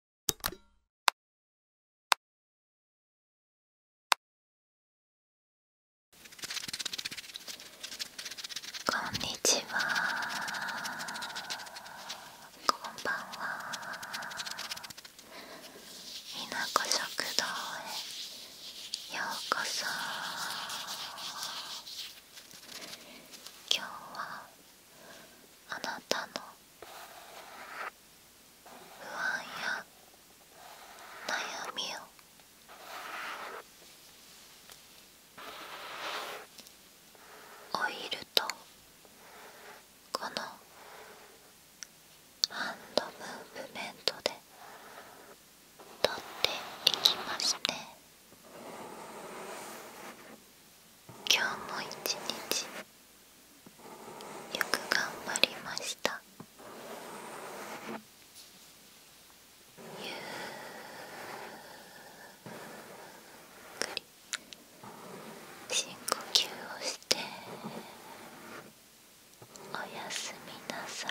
こんにちはこんばんはみなこ食堂へようこそ今日はあなたの不安や悩みをオイルとこのハンドムーブメントで取っていきまして。今日も一日よく頑張りましたゆっくり深呼吸をしておやすみなさい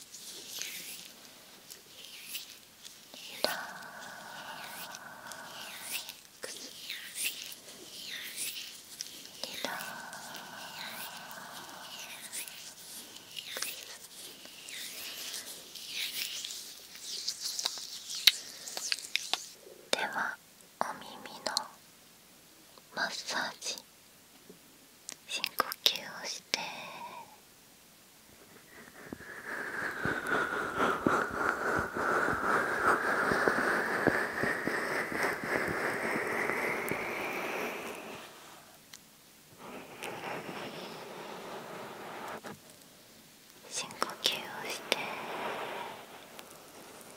ラッではお耳のマッサージ深呼吸をして深呼吸をして。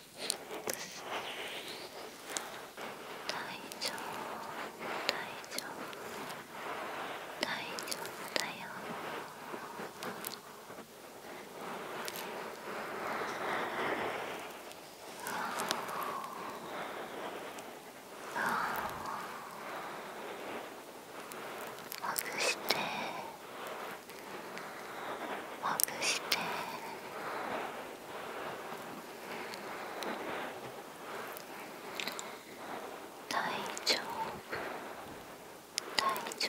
大丈夫大丈夫大丈夫だよああ。ああ。ぐしてほぐして大丈夫大丈夫大丈夫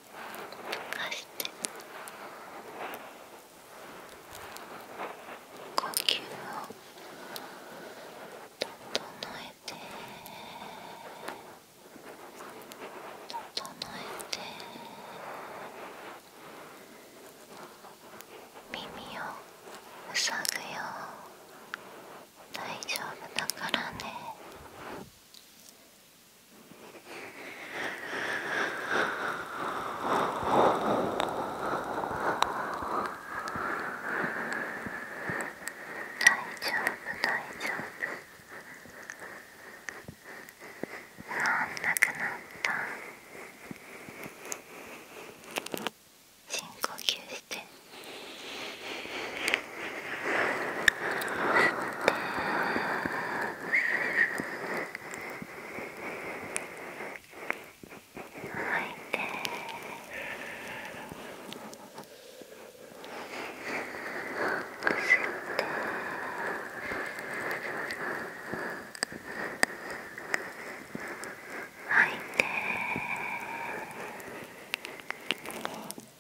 かして呼吸を整えて整えて耳を塞ぐよ大丈夫だからね。大丈夫大丈夫もうなくなった深呼吸して。吐いて。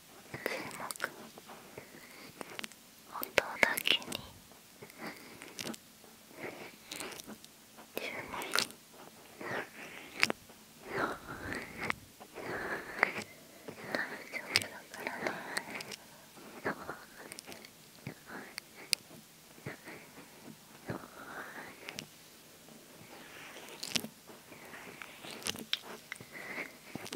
注目音だけに注目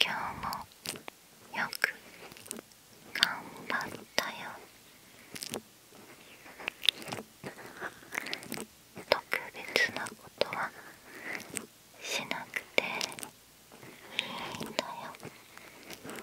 今日もよく頑張ったよ特別なことはしなくていいんだよ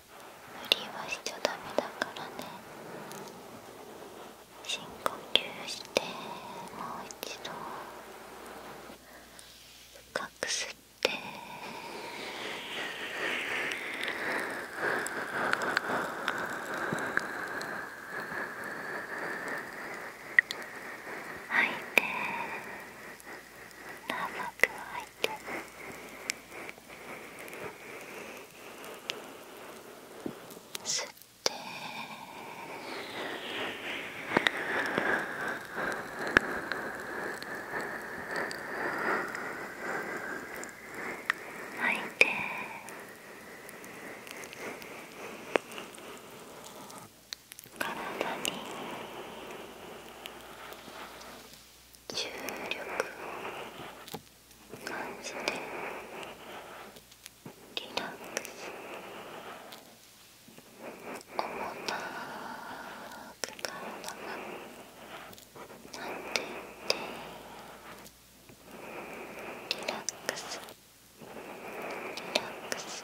無理はしちゃダメだからね深呼吸してもう一度深く吸って吐いて長く吐い吸って吐いて体に重力を感じてリラックス重たく体がなっていってリラックスリラックスリラックス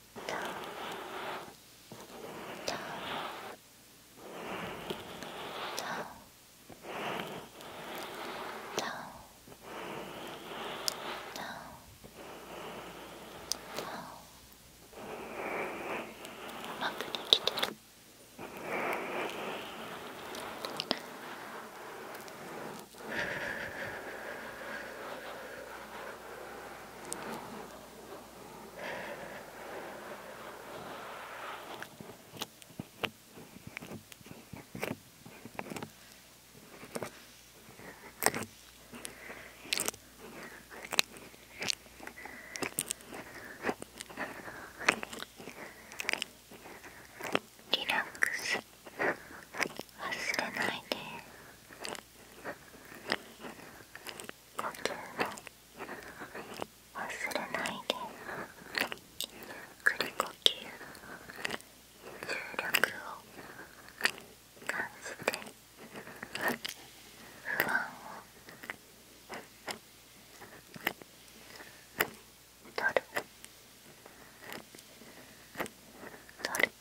まくできてる。リラックス忘れないで。呼吸を忘れないでゆっくり呼吸重力を感じて不安を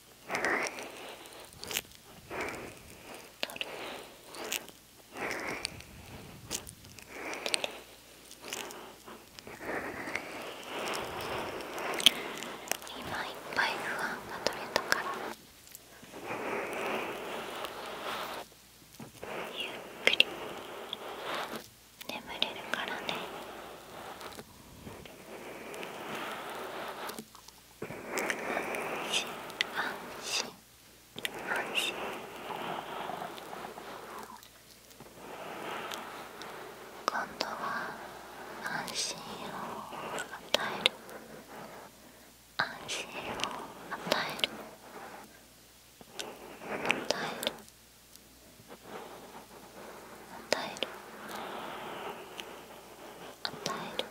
今いっぱい不安が取れたからゆっくり眠れるからね。安心安心安心今度は安心を与える安心を与える与える与える与える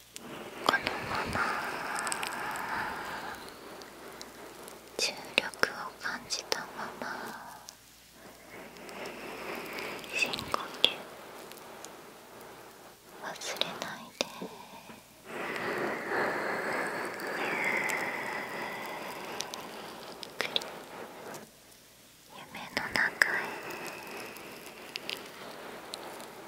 このまま重力を感じたまま深呼吸忘れないでゆっくり夢の中へ